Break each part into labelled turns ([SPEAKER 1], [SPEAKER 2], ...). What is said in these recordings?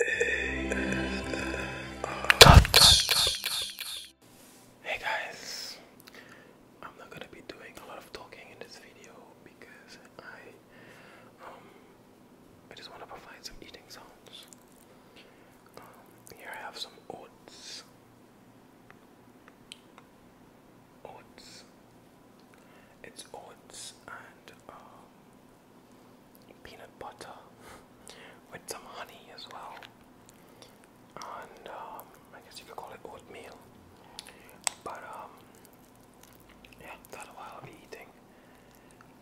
[SPEAKER 1] Hey guys, I'm not gonna be doing a lot of talking in this video because I um I just want to provide some eating sounds. Um, here I have some oats, oats. It's oats and um, peanut butter with some honey as well. And um, I guess you could call it oatmeal. But um, yeah, that's what I'll be eating.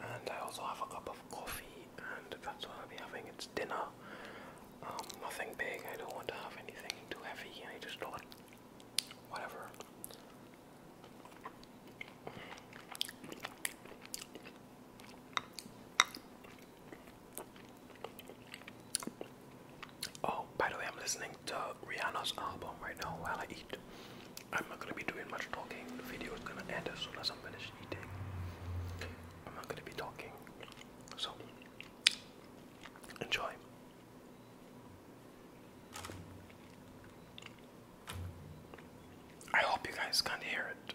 [SPEAKER 1] And I also have a cup of coffee, and that's what I'll be having. It's dinner. Um, nothing big. I don't want to have anything too heavy. I just thought, whatever. Oh, by the way, I'm listening to Rihanna's album right now while I eat. I'm not gonna be doing much talking. The video is gonna end as soon as I'm finished eating. I'm not gonna be talking. So, enjoy. I hope you guys can hear it.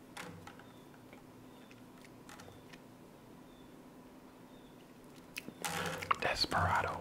[SPEAKER 1] Desperado.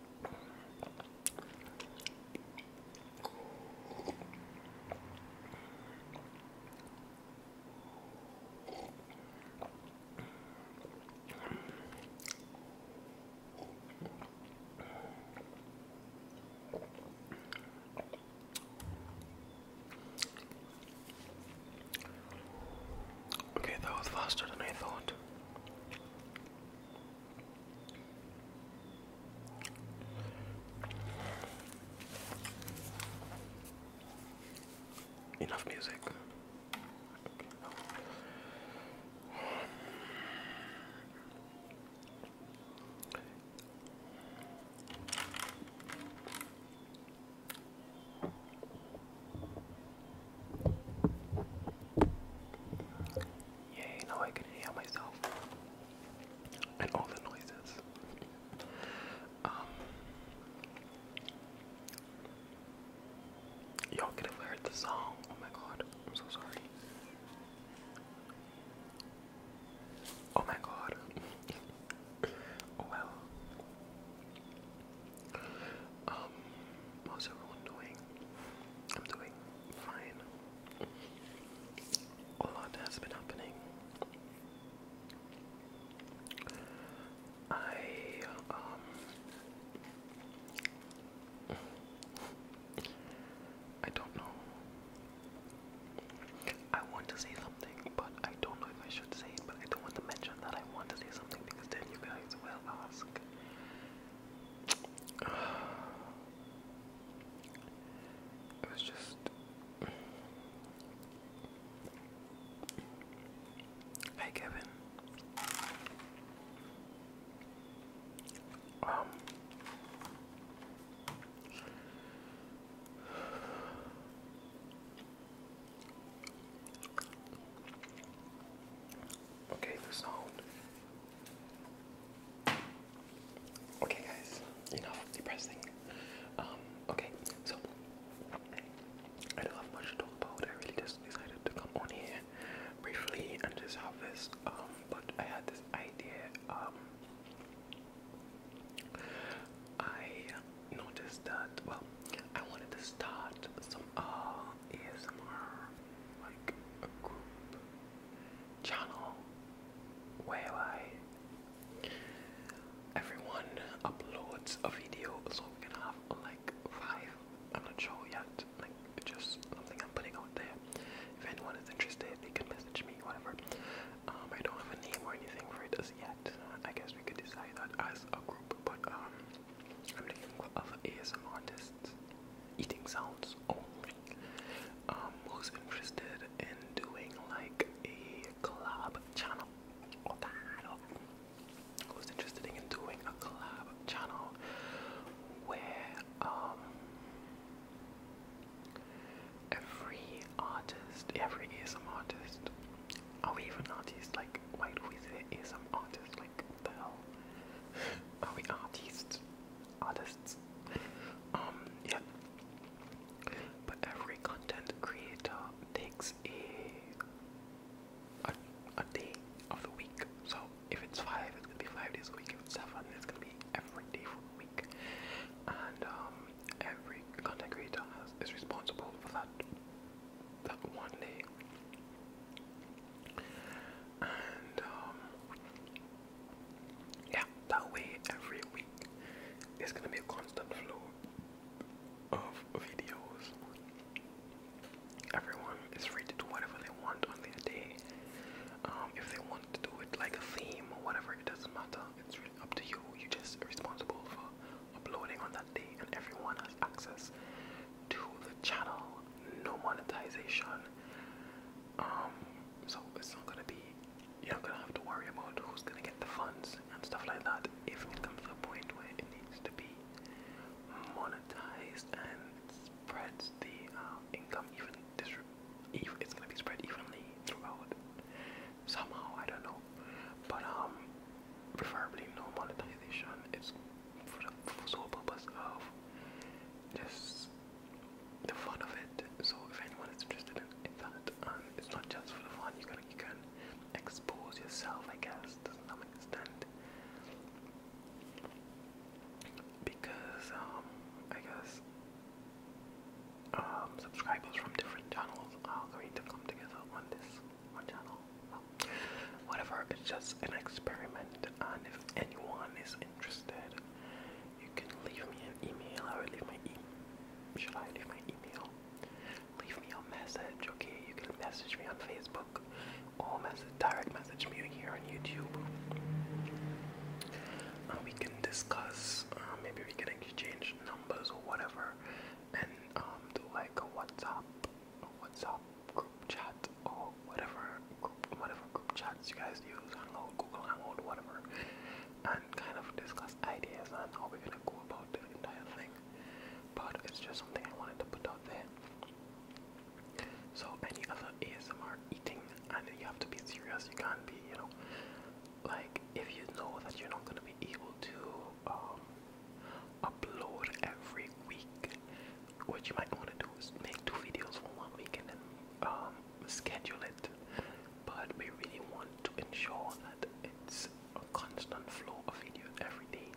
[SPEAKER 1] Okay, that was faster than I thought. Enough music. Yay, now I can hear myself and all the noises. Um, y'all could have heard the song. Oh my god, I'm so sorry. Oh my god. oh well. Um, how's oh, everyone I'm doing fine. A lot has been happening. I, um, I don't know. I want to say something, but I don't know if I should say it, but I don't want to mention that I want to say something because then you guys will ask it was just. Hey, Kevin. Um. Okay, the sound. Okay, guys, enough depressing. Um, okay, so I don't have much to talk about. I really just decided to come on here briefly and just have this. Um, but I had this idea. Um, I noticed that. Well, I wanted to start some uh, ASMR like a group channel where I everyone uploads a video so we can have like five. I'm not sure yet. Like just something I'm putting out there. If anyone is interested, they can message me, whatever. Um, I don't have a name or anything for it as yet. I guess we could decide that as a group, but um, I'm looking for other ASM artists just eating sounds only. Um, who's interested in doing like a club channel? Who's interested in doing a collab channel where um every artist, every ASM artist, are we even artists? Like, why do we artist? Like, the hell? Are we artists? Artists? Um, yeah. But every content creator takes a, a day of the week. So if it's five, it's gonna be five days a week. If it's seven, it's gonna be every day for a week. And um, every content creator has, is responsible for that that one day. And um, yeah, that way every week there's gonna be a constant flow of videos. Everyone is free to do whatever they want on their day. Um, if they want to do it like a theme or whatever, it doesn't matter. It's really up to you. You're just responsible for uploading on that day, and everyone has access to the channel. No monetization. Um, so it's not gonna be. You're not gonna have to worry about who's gonna get the funds and stuff like that. If it comes to a point where it needs to be monetized and spreads the um, income even if it's gonna be spread evenly throughout somehow I don't know but um preferably no monetization. It's for the sole purpose of just the fun of it. So if anyone is interested in, that, and um, it's not just for the fun, you can you can expose yourself, I guess, to some extent. Because um, I guess um, subscribers from different channels are going to come together on this whatever, it's just an experiment, and if anyone is interested, you can leave me an email. I will leave my email. Should I leave my email? Leave me a message, okay? You can message me on Facebook or message direct message me here on YouTube. And we can discuss. Uh, maybe we can exchange numbers or whatever, and um, do like a WhatsApp WhatsApp group chat or whatever group, whatever group chats you guys use. I don't know, Google Hangout, whatever, and kind of discuss ideas and how we're gonna go about the entire thing. But it's just something I wanted to put out there. So any other ASMR eating, and you have to be serious. You can't be, you know, like if you know that you're not gonna be able to. Um, upload every week. What you might want to do is make two videos for one week and um, schedule it. But we really want to ensure that it's a constant flow of videos every day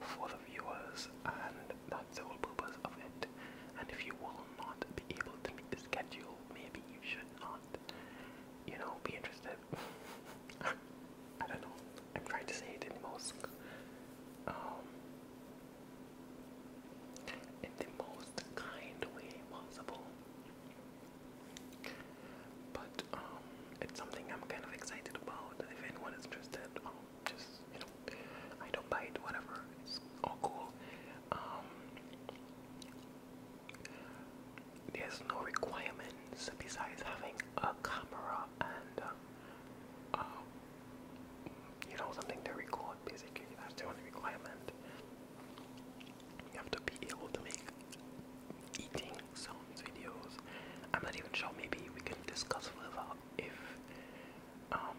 [SPEAKER 1] for the viewers, and that's the whole purpose of it. And if you will not be able to make the schedule, maybe you should not, you know, be interested. I don't know. I'm trying to say it in most um in the most kind possible. But um it's something I'm kind of excited about. If anyone is interested, just you know, I don't bite, whatever. It's all cool. Um there's no requirements besides having a camera and um, um, you know, something to record. Basically, that's the only requirement. You have to be able to make eating sounds videos. I'm not even sure. Maybe we can discuss further if um,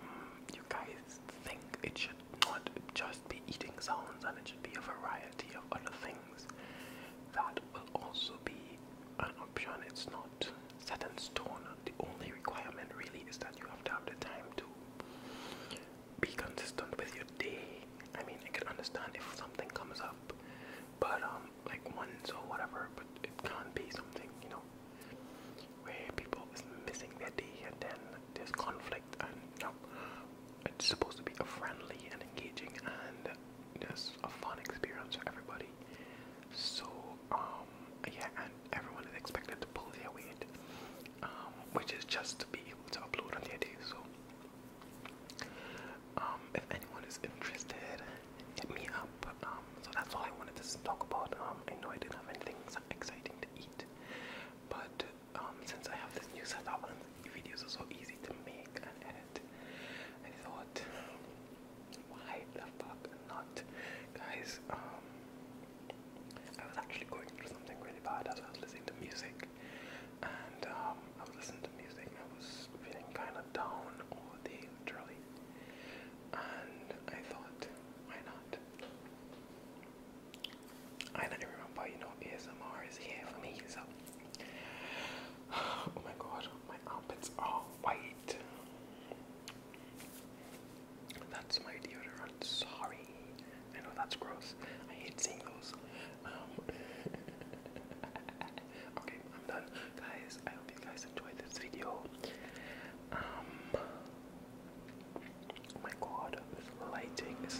[SPEAKER 1] you guys think it should not just be eating sounds, and it should be a variety of other things that will also be an option. It's not set in stone. The only requirement really is that you have to have the time to be consistent with your day. I mean, I can understand if something comes up, but um, like once or whatever, but it can't be something, you know, where people is missing their day and then there's conflict and no. it's supposed to be a friendly and engaging and just a fun experience for everybody. So, um, yeah, and everyone is expected to pull their weight, um, which is just to be able to upload on the day. So, um, if anyone is interested, hit me up. Um, so that's all I wanted to talk about. Um, I know I didn't have anything exciting to eat, but um, since I have this new set setup and videos are so easy to make and I thought, why the fuck not? Guys, um, I was actually going through something really bad as I was listening to music. And um, I was listening to music and I was feeling kind of down all day, literally. And I thought, why not? And I remember, you know, ASMR is here for me, so. Oh my god. My outfits are white. That's my deodorant. Sorry. I know that's gross. I hate seeing those. Um, okay, I'm done. Guys, I hope you guys enjoyed this video. Um, oh my god, this lighting is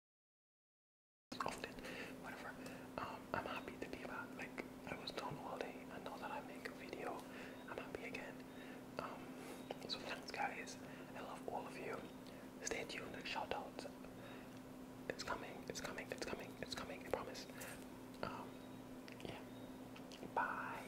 [SPEAKER 1] owned whatever. Um, I'm happy to be back. Like I was done all day, I know that I make a video, I'm happy again. Um, so thanks, guys. I love all of you. Stay tuned. Shout out. It's coming. It's coming. It's coming. It's coming. I promise. Um, yeah. Bye.